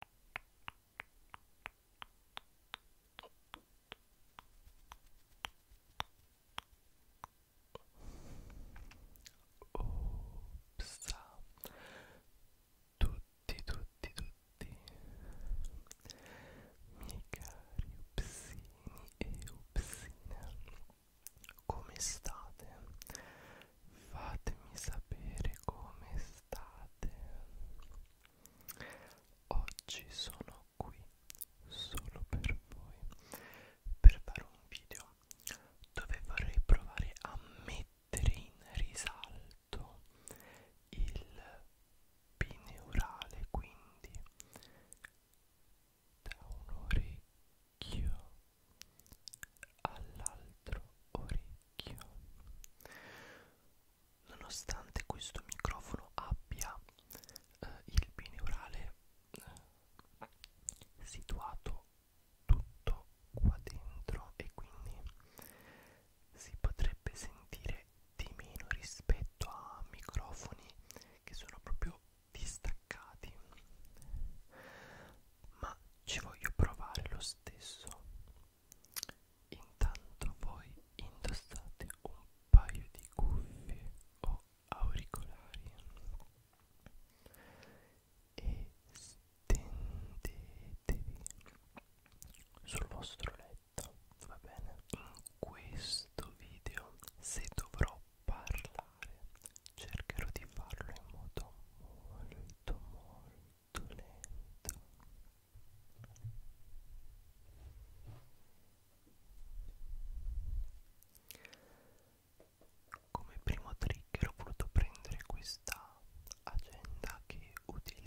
Ops. Tutti, tutti, tutti miei cari upsini e upsine, come state? Fatemi sapere come restate oggi sono qui solo per voi per fare un video dove vorrei provare a mettere in risalto il bineurale quindi da un orecchio all'altro orecchio vecchio nonostante questo microfono abbia eh, il pineurale eh, situato tutto qua dentro e quindi si potrebbe sentire di meno rispetto a microfoni che sono proprio distaccati ma ci voglio provare lo stesso Intanto voi indossate un paio di cuffie o auricolari e stendetevi sul vostro letto, va bene? In questo video, se dovrò parlare, cercherò di farlo in modo molto molto molto lento come primo trigger ho voluto prendere questa agenda che utilizzo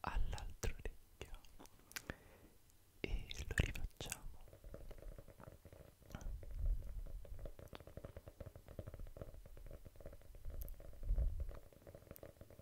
all'altro orecchio e lo rifacciamo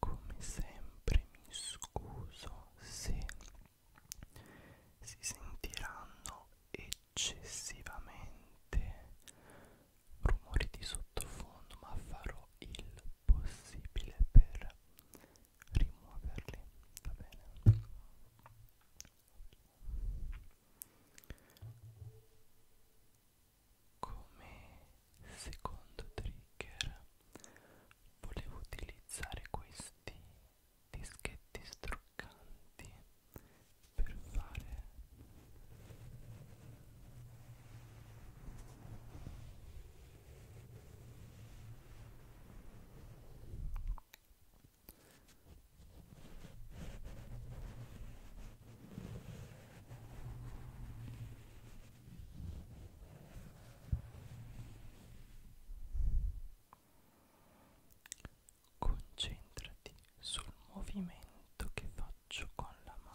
come sempre mi scuso se si sentiranno eccessivamente rumori di sottofondo ma farò il possibile per rimuoverli va bene come secondo trigger volevo utilizzare questi dischetti struccanti per fare Concentrati sul movimento che faccio con la mano.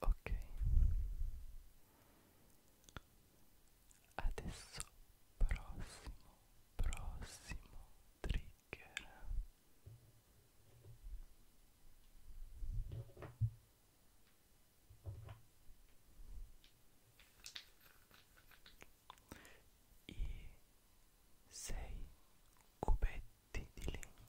Ok. Adesso prossimo, prossimo trigger i sei cubetti di legna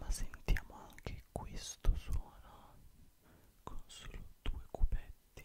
Ma sentiamo anche questo suono con solo due cubetti.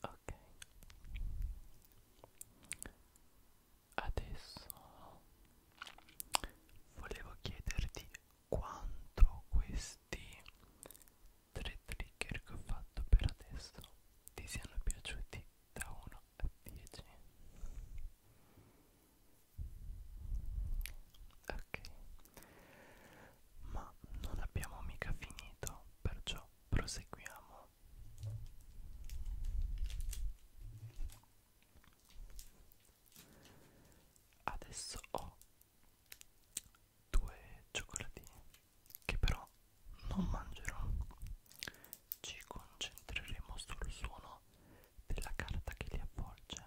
ok adesso volevo chiederti quanto questi tre trigger che ho fatto per adesso ti siano piaciuti da 1 a 10 ok ma non abbiamo mica finito perciò proseguiamo Adesso ho due cioccolatini che però non mangerò. Ci concentreremo sul suono della carta che li avvolge.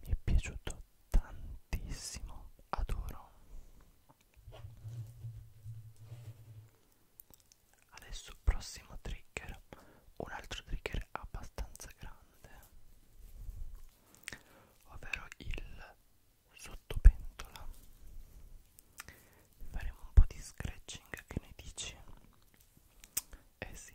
mi è piaciuto tantissimo adoro adesso prossimo trigger un altro trigger abbastanza grande ovvero il sottopentola faremo un po' di scratching che ne dici? eh sì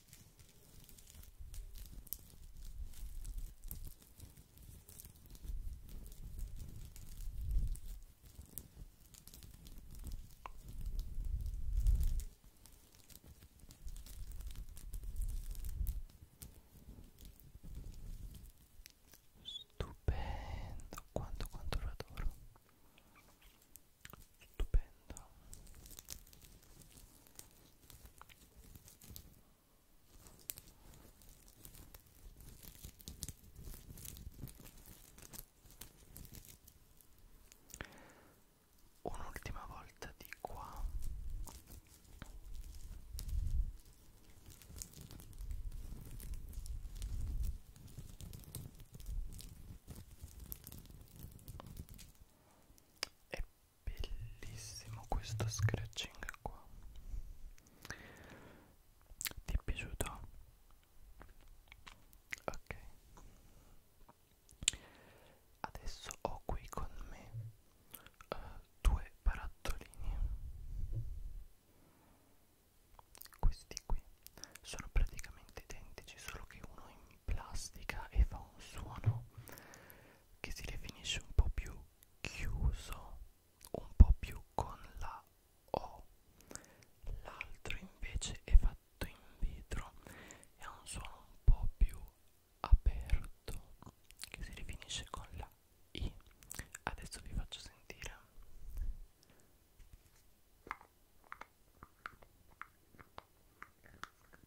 Stupendo, quanto quanto lo adoro. Stupendo. Un'ultima volta di qua. E bellissimo questo scratching qua ti è piaciuto? ok adesso ho qui con me uh, due barattolini questi qui sono praticamente identici solo che uno in plastica e fa un suono che si definisce un po' più chiuso, un po' più con la O. L'altro invece è fatto in vetro e ha un suono un po' più aperto che si definisce con la I. Adesso vi faccio sentire.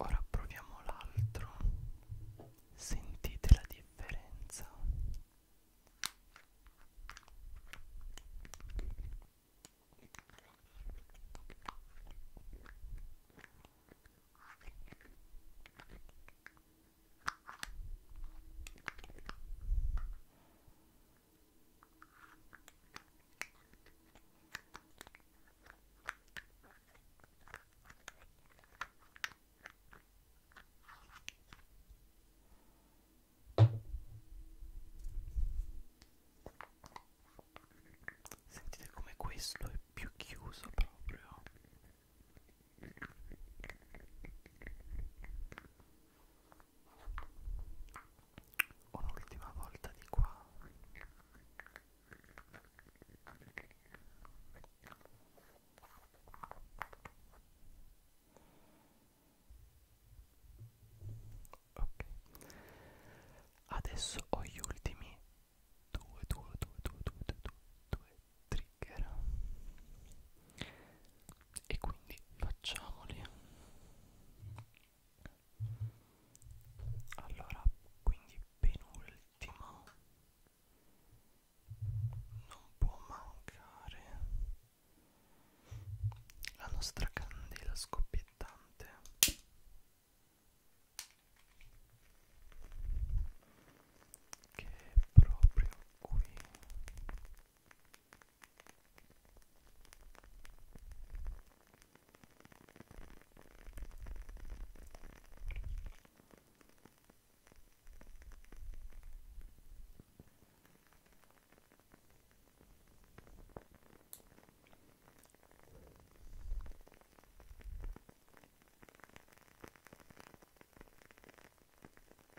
Ora proviamo l'altro. Sentite la differenza. Sentite come questo è più chiuso proprio Un'ultima volta di qua. Ok. Adesso ho gli ultimi 2 2 2 2 2 2 2 3 zecchera e quindi facciamoli allora quindi penultimo non può mancare la nostra candela scoppiettante che è proprio qui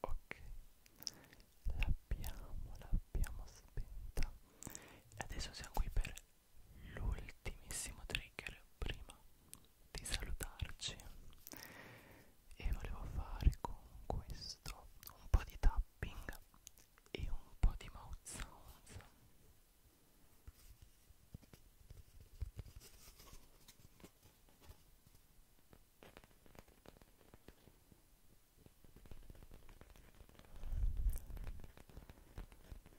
Ok, l'abbiamo, l'abbiamo spenta. Adesso siamo qui per l'ultimissimo trigger prima di salutarci e volevo fare con questo un po' di tapping e un po' di mouth sounds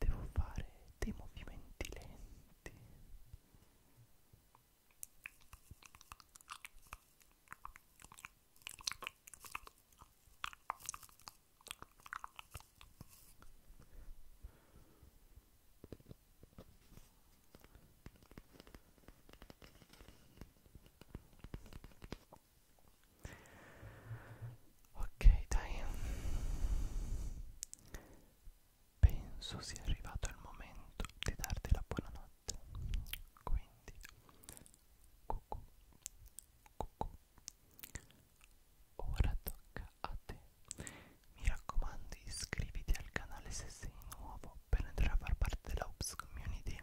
Devo fare dei movimenti lenti. Ok, dai. Penso sia arrivato il momento di darti la buonanotte. Quindi, cucù, cucù, Ora tocca a te. Mi raccomando iscriviti al canale se sei nuovo per entrare a far parte della Ups Community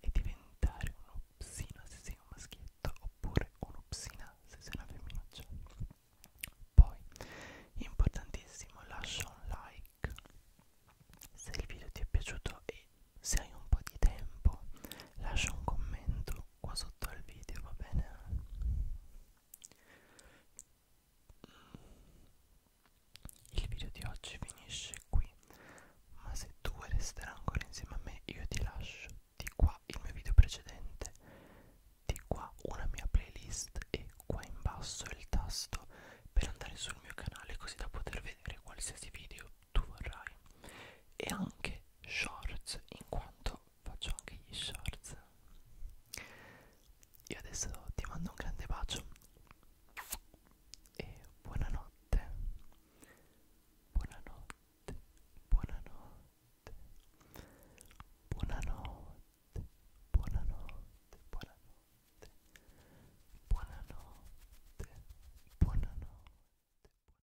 e diventare un upsino se sei un maschietto oppure un'upsina se sei una femminuccia. Poi, importantissimo, lascia un like se il video ti è piaciuto e se hai un po' di tempo lascia un commento qua sotto al video va bene mm. il video di oggi finisce qui ma se tu vuoi restare ancora insieme a me io ti lascio di qua il mio video precedente di qua una mia playlist e qua in basso il tasto per andare sul mio canale così da poter vedere qualsiasi video tu vorrai e anche shorts in quanto faccio anche gli shorts io adesso ti mando un grande bacio e buonanotte buonanotte buonanotte buonanotte buonanotte buonanotte buonanotte buonanotte